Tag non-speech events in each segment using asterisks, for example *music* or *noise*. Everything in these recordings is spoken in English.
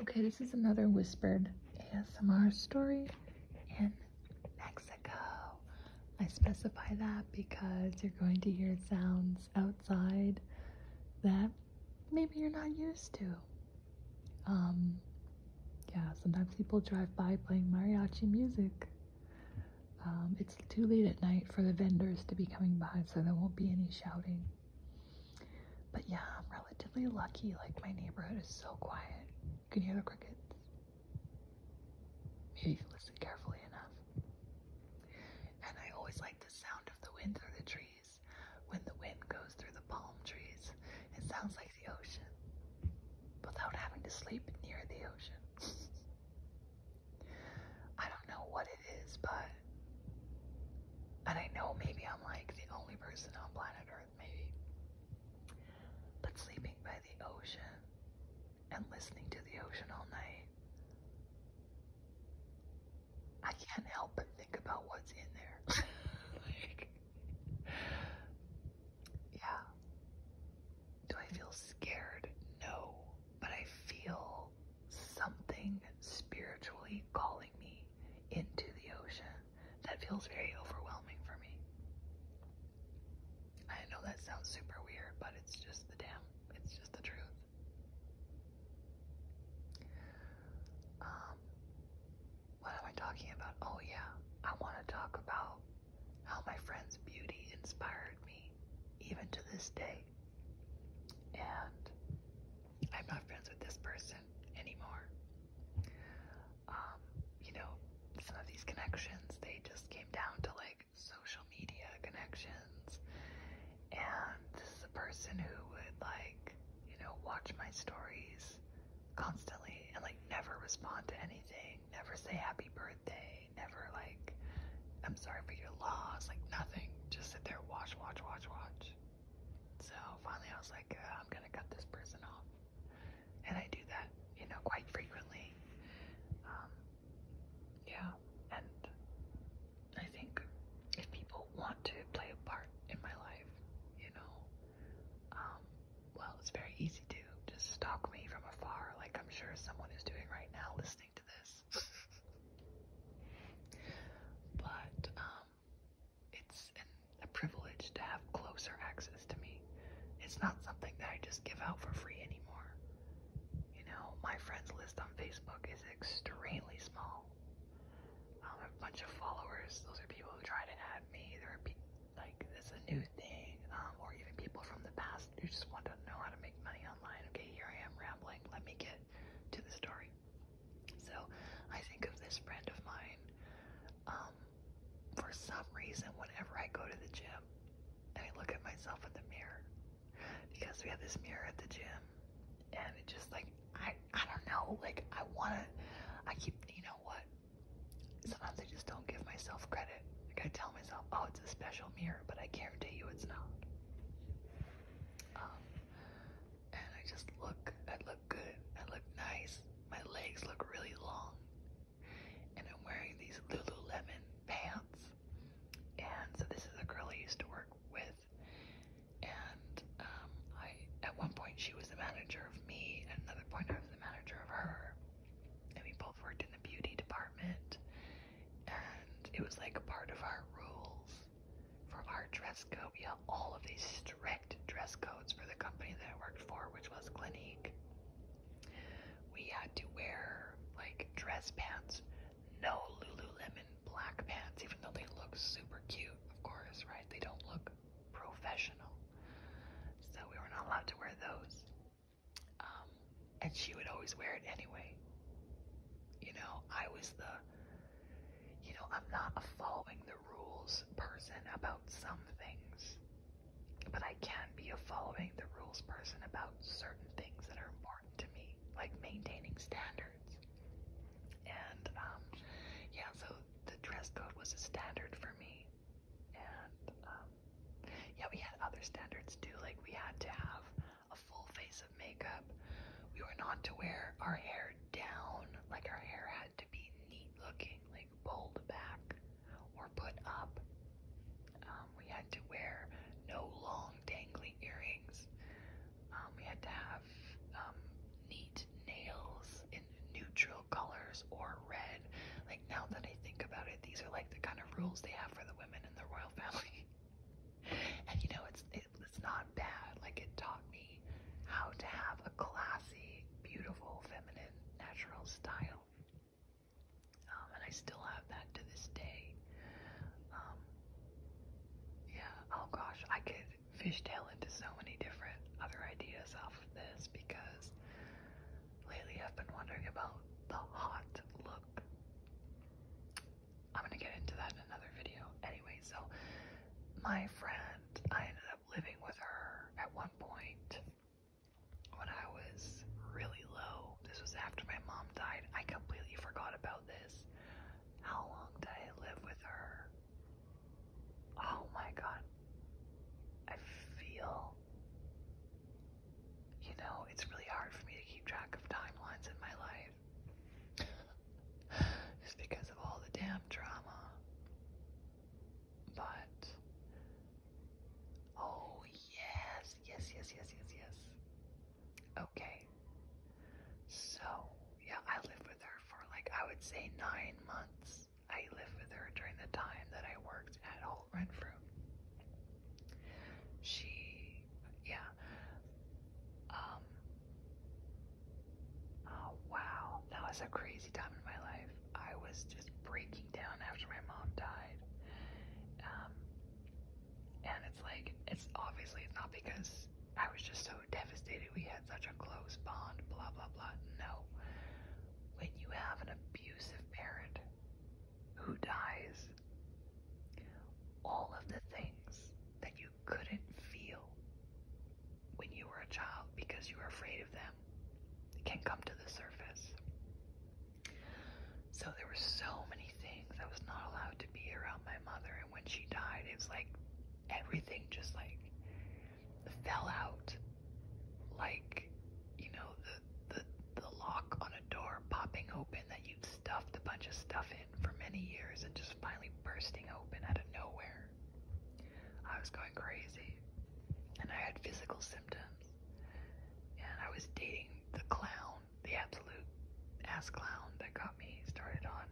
Okay, this is another whispered ASMR story in Mexico. I specify that because you're going to hear sounds outside that maybe you're not used to. Um, yeah, sometimes people drive by playing mariachi music. Um, it's too late at night for the vendors to be coming by, so there won't be any shouting. But yeah, I'm relatively lucky. Like, my neighborhood is so quiet. you Can hear the crickets? Maybe if you listen carefully enough. And I always like the sound of the wind through the trees. When the wind goes through the palm trees, it sounds like the ocean without having to sleep near the ocean. *laughs* I don't know what it is, but and I know maybe I'm like the only person on planet Earth, maybe. But sleeping by the ocean and listening to the ocean all night, I can't help but think about what's in there. *laughs* yeah. Do I feel scared? No. But I feel something spiritually calling me into the ocean. That feels very overwhelming for me. I know that sounds super weird, but it's just the damn, it's just the truth. Um, what am I talking about? Oh yeah, I want to talk about how my friend's beauty inspired me, even to this day. And I'm not friends with this person, anymore. Um, you know, some of these connections, they just came down to like social media connections. And this is a person who would like, you know, watch my stories constantly and like never respond to anything, never say happy birthday, never like, I'm sorry for your loss, like nothing. Just sit there, watch, watch, watch, watch. So finally, I was like, uh, I'm gonna cut this person off, and I do that, you know, quite frequently. Um, yeah, and I think if people want to play a part in my life, you know, um, well, it's very easy to just stalk me from afar, like I'm sure someone is doing right now, listening to this. *laughs* but um, it's a privilege to have closer access to me. It's not something that I just give out for free anymore. You know, my friends list on Facebook is extremely small. Um, I have a bunch of followers. Those are people who tried to add me. they are like it's a new thing, um, or even people from the past who just want to know how to make money online. Okay, here I am rambling. Let me get to the story. So I think of this friend of mine. Um, for some reason, whenever I go to the gym and I look at myself in the mirror, because we have this mirror at the gym, and it just like I I don't know, like I wanna, I keep you know what? Sometimes I just don't give myself credit. I gotta tell myself, oh, it's a special mirror, but I guarantee you it's not. Um, and I just look, I look good, I look nice. My legs look really long, and I'm wearing these Lululemon pants. And so this is a girl I used to work with, and um, I at one point she was the manager of me, at another point I was the manager of her, and we both worked in the beauty department, and it was like a part of our rules for our dress code. We have all of these strict dress codes for the company that I worked for, which was Clinique. We had to wear like dress pants, no Lululemon black pants, even though they look super cute, of course, right? They don't look professional. So we were not allowed to wear those. Um, and she would always wear it anyway. You know, I was the you know, I'm not a following the rules person about some things, but I can be a following the rules person about certain things that are important to me, like maintaining standards. And um, yeah, so the dress code was a standard for me. And um, yeah, we had other standards too, like we had to have a full face of makeup. We were not to wear our hair down, like our hair had to be neat looking, like pulled back or put up. Um, we had to wear no long dangly earrings. Um, we had to have um, neat nails in neutral colors or red. Like now that I think about it, these are like the kind of rules they have for the women in the royal family. *laughs* and you know, it's it not bad. Like it taught me how to have a classy, beautiful, feminine, natural style. Um, and I still have that to this day. Um, yeah, oh gosh, I could fishtail into so many different other ideas off of this because lately I've been wondering about the hot look. I'm gonna get into that in another video. Anyway, so my friend, I ended up living with her at one point when I was really low. This was after my mom died. I completely forgot about this. How long did I live with her? Oh my god. I feel. You know, it's really hard for me to keep track of timelines in my life. It's because of all the damn drama. But oh yes, yes, yes, yes, yes, yes. Okay. So yeah, I lived with her for like I would say nine months. I lived with her during the time that I worked at Holt Renfrew. She, yeah, um, oh wow, that was a crazy time in my life. I was just breaking down after my mom died. Um, and it's like, it's obviously not because I was just so devastated. We had such a close bond, blah, blah, blah. No. When you have an abusive parent who dies, all of the things that you couldn't feel when you were a child because you were afraid of them can come to the surface. So there were so many things I was not allowed to be around my mother, and when she died, it's like everything just like fell out, like you know the the the lock on a door popping open happen that you've stuffed a bunch of stuff in for many years and just finally bursting open out of nowhere. I was going crazy and I had physical symptoms and I was dating the clown, the absolute ass clown that got me started on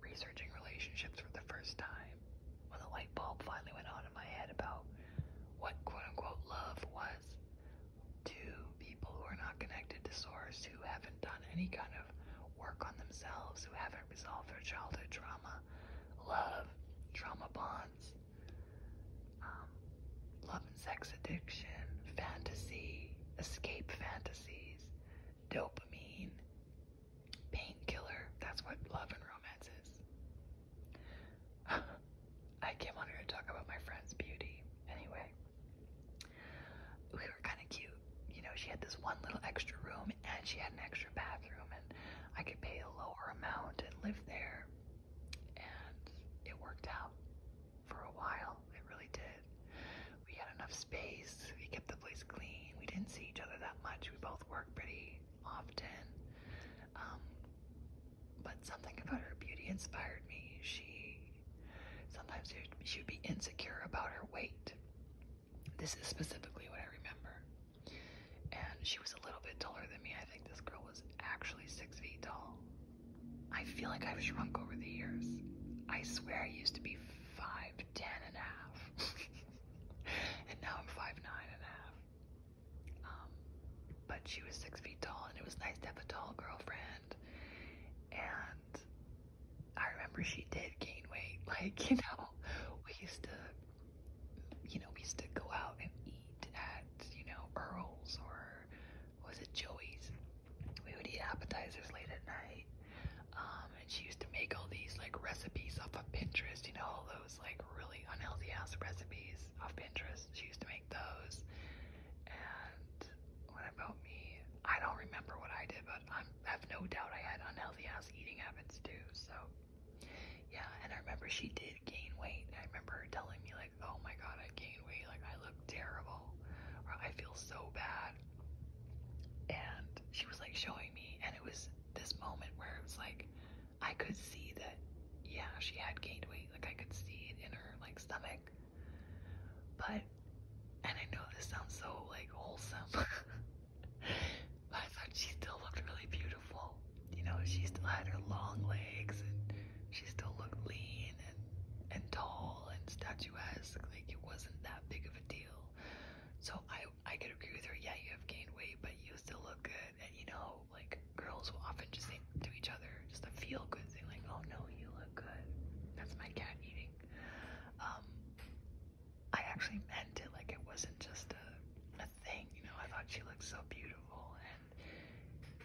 researching relationships for the first time when the light bulb finally went on in my head about what quote unquote love was to people who are not connected to source, who haven't done any kind of work on themselves, who haven't resolved their childhood trauma, love, trauma bonds, um, love and sex addiction, fantasy, escape fantasies, dopamine, painkiller. That's what love and romance is. *laughs* I came on here to talk about my friend's beauty. Anyway we were kind of cute. You know, she had this one little extra room and she had an extra bathroom, and I could pay a lower amount and live there. And it worked out for a while. It really did. We had enough space, we kept the place clean. We didn't see each other that much. We both worked pretty often. Um, but something about her beauty inspired me. She Sometimes she would be insecure about her weight. This is specifically what I remember. And she was a little bit taller than me. I think this girl was actually six feet tall. I feel like I've shrunk over the years. I swear I used to be five ten and a half. *laughs* and now I'm five nine and a half. Um, but she was six feet tall and it was nice to have a tall girlfriend friend, and I remember she did gain weight. *laughs* Like, you know, we used to, you know, we used to go out and eat at, you know, Earl's or was it Joey's? We would eat appetizers late at night. Um, and she used to make all these like recipes off of Pinterest, you know, all those like really unhealthy ass recipes off Pinterest. She used to those. And what about me? I don't remember what I did, but i have no doubt I had unhealthy ass eating habits too. So, yeah. And I remember she did gain weight. I remember her telling me like, "Oh my God, I gained weight. Like I look terrible, I feel so bad." And she was like showing me, and it was this moment where it was like, I could see that, yeah, she had gained weight. Like I could see it in her like stomach quick. But, and I know this sounds so like wholesome, *laughs* but I thought she still looked really beautiful. You know, she still had her long legs and she still looked lean and, and tall and statuesque. Like it wasn't that big of a deal. So I, I could agree with her. Yeah, you have gained weight, but you still look good. And you know, like girls will often just say, to each other, just a feel good thing, like, oh no, you look good. That's my cat eating. Um, I actually meant it, like, it wasn't just a, a thing, you know. I thought she looked so beautiful, and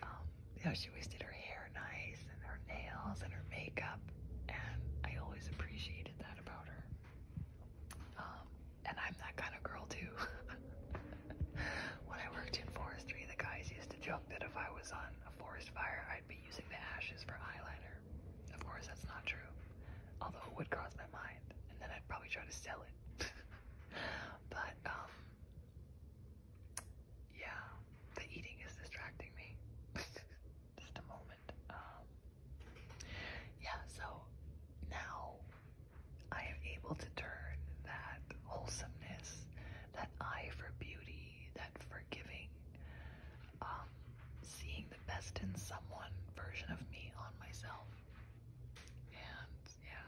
um, she always did her hair nice, and her nails, and her makeup, and I always appreciated that about her. Um, and I'm that kind of girl too. *laughs* when I worked in forestry, the guys used to joke that if I was on a forest fire, I'd be using the ashes for eyeliner. Of course, that's not true. Although it would cross my mind, and then I'd probably try to sell it. *laughs* but, um, yeah, the eating is distracting me. *laughs* Just a moment. Um, yeah, so now I am able to turn that wholesomeness, that eye for beauty, that forgiving, um, seeing the best in someone version of me on myself. And yeah,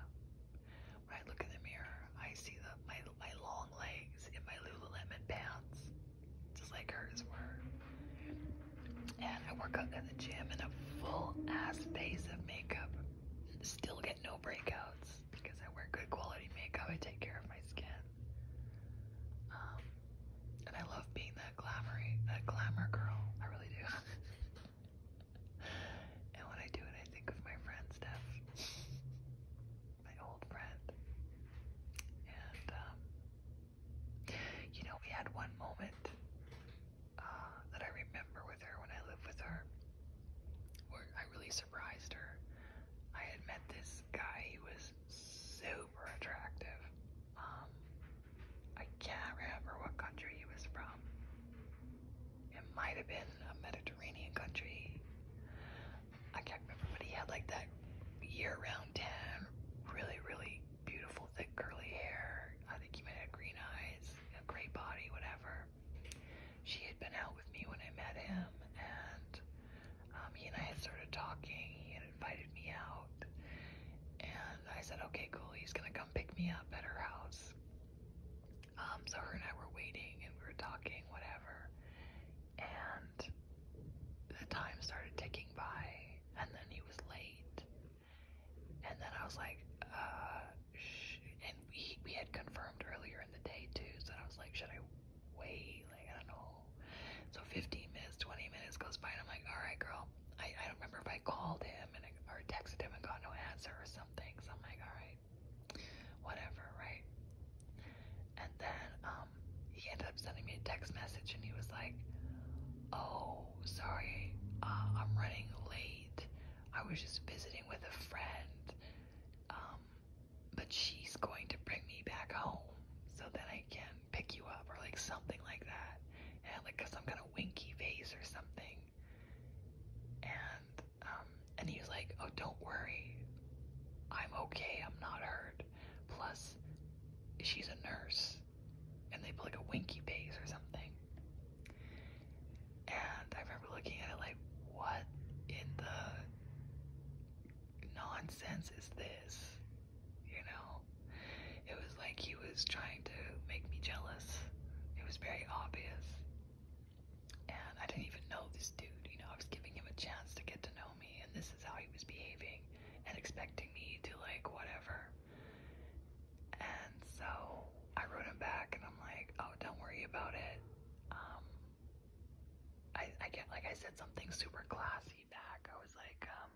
when I look in the mirror, I see the, my my long legs in my Lululemon pants, just like hers were. And I work out at the gym in a full ass face of makeup, still get no breakouts because I wear good quality makeup. I take care of my skin, um, and I love being that glamour that glamour girl. I really do. *laughs* and when I do it, I think of my friend Steph, my old friend, and um, you know, we had one moment. Uh, that I remember with her when I lived with her, where I really surprised her. I had met this guy, he was super attractive. Um, I can't remember what country he was from. It might have been a Mediterranean country. I can't remember, but he had like that year-round tan, really, really beautiful, thick, curly hair. I think he might have green eyes, a great body, whatever. She had been out with me when I met him, and um, he and I had started talking. He had invited me out, and I said, "Okay, cool. He's gonna come pick me up at her house." Um, so her and I were waiting, and we were talking, whatever, and the time started ticking by, and then he was late, and then I was like, uh, and we, we had confirmed earlier in the day too, so I was like, should I wait? Like, I don't know. So 15 minutes, 20 minutes goes by, and I'm like, all right, girl. I, I don't remember if I called him and or texted him and got no answer or something. So I'm like, all right, whatever, right? And then um, he ended up sending me a text message, and he was like, oh, sorry, uh, I'm running late. I was just visiting with a friend. Um, but she's going to bring me back home so then I can pick you up or like something like that. And like 'cause kind of winky face or something. And um and he like, Oh don't worry. I'm okay, I'm not hurt. Plus she's a nurse. And they put like a winky face or something. And I remember looking at it like, what in the nonsense is this? You know? It was like he was trying to make me jealous. It was very obvious. And I didn't even know this dude. You know, I was giving him a chance to get to know me, and this is how he was behaving and expecting me to, like, whatever. And so I wrote him back, and I'm like, oh, don't worry about it um, I, I get, like I said, something super classy back. I was like, um,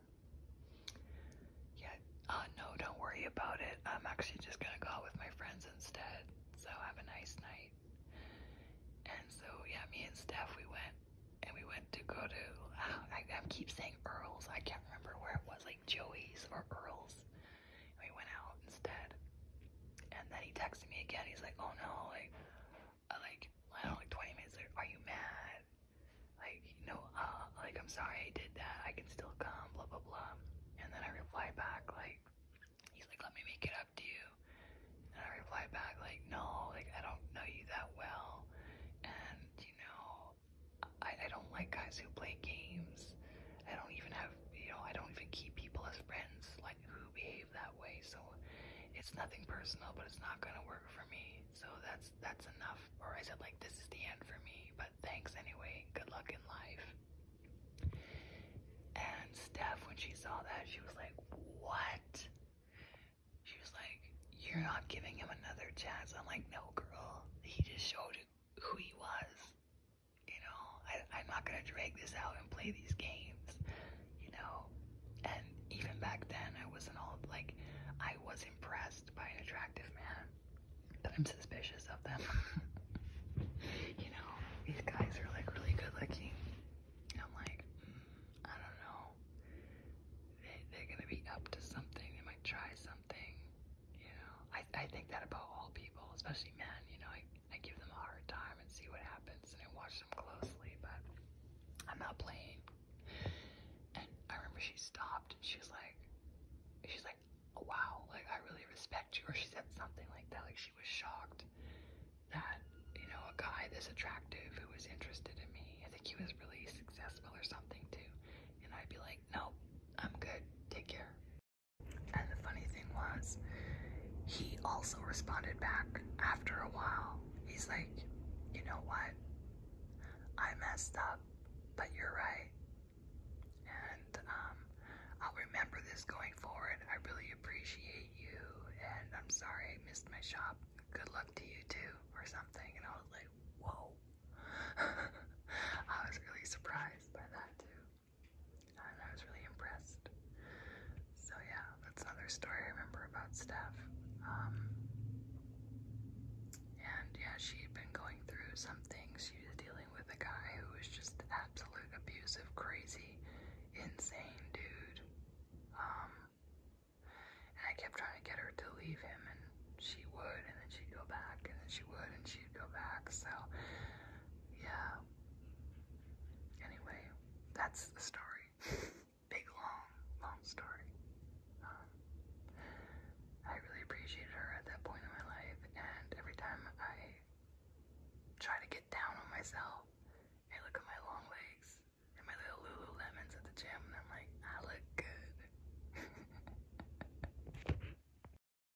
yeah, uh, no, don't worry about it. I'm actually just gonna go out with my friends instead. So have a nice night. And so, yeah, me and Steph, we went and we went to go to, *sighs* I, I keep saying Earl's, I can't remember where it was, like Joey's or Earl's. We went out instead. And then he texted me again. He's like, "Oh no, like, I uh, like, I don't like 20 minutes Are you mad? Like, you know, uh, like I'm sorry I did that. I can still come. Blah blah blah." And then I reply back like, "He's like, let me make it up to you." And I reply back like, "No, like I don't know you that well, and you know, I, I don't like guys who play games. I don't even have." have, you know, I don't even keep people as friends like who behave that way. So it's nothing personal, but it's not gonna work for me. So that's that's enough. Or I said like this is the end for me. But thanks anyway. Good luck in life. And Steph, when she saw that, she was like, what? She was like, you're not giving him another chance. I'm like, no, girl. He just showed who he was. You know, I, I'm not gonna drag this out and play these games. You know, and even back then, I wasn't all like, I was impressed by an attractive man, but I'm suspicious of them. *laughs* you know, these guys are like really good looking. I'm like, hmm, I don't know. They, they're gonna be up to something. They might try something. You know, I I, think that about all people, especially men. You know, I, I give them a hard time and see what happens, and I watch them closely, but I'm not playing. And I remember she stopped, and she's like, she's like, wow, like, I really respect you, or she said something like that, like, she was shocked that, you know, a guy this attractive who was interested in me, I think he was really successful or something, too, and I'd be like, no, I'm good, take care. And the funny thing was, he also responded back after a while. He's like, you know what? I messed up, but you're right. And um, I'll remember this going forward. I really appreciate you, and I'm sorry I missed my shop. Good luck to you too, or something. And I was like, whoa. *laughs* I was really surprised by that too. I was really impressed. So yeah, that's another story I remember about Steph. Um, and yeah, she had been going through some things. She was dealing with a guy who was just absolute abusive, crazy, insane dude. Um, and I kept trying to get her to leave him, and she would, and then she'd go back, and then she would, and she'd go back. So yeah. Anyway, that's the story. *laughs* Big, long, long story. Um, I really appreciated her at that point in my life, and every time I try to get down on myself, I look at my long legs and my little Lululemons at the gym, and I'm like, I look good. *laughs*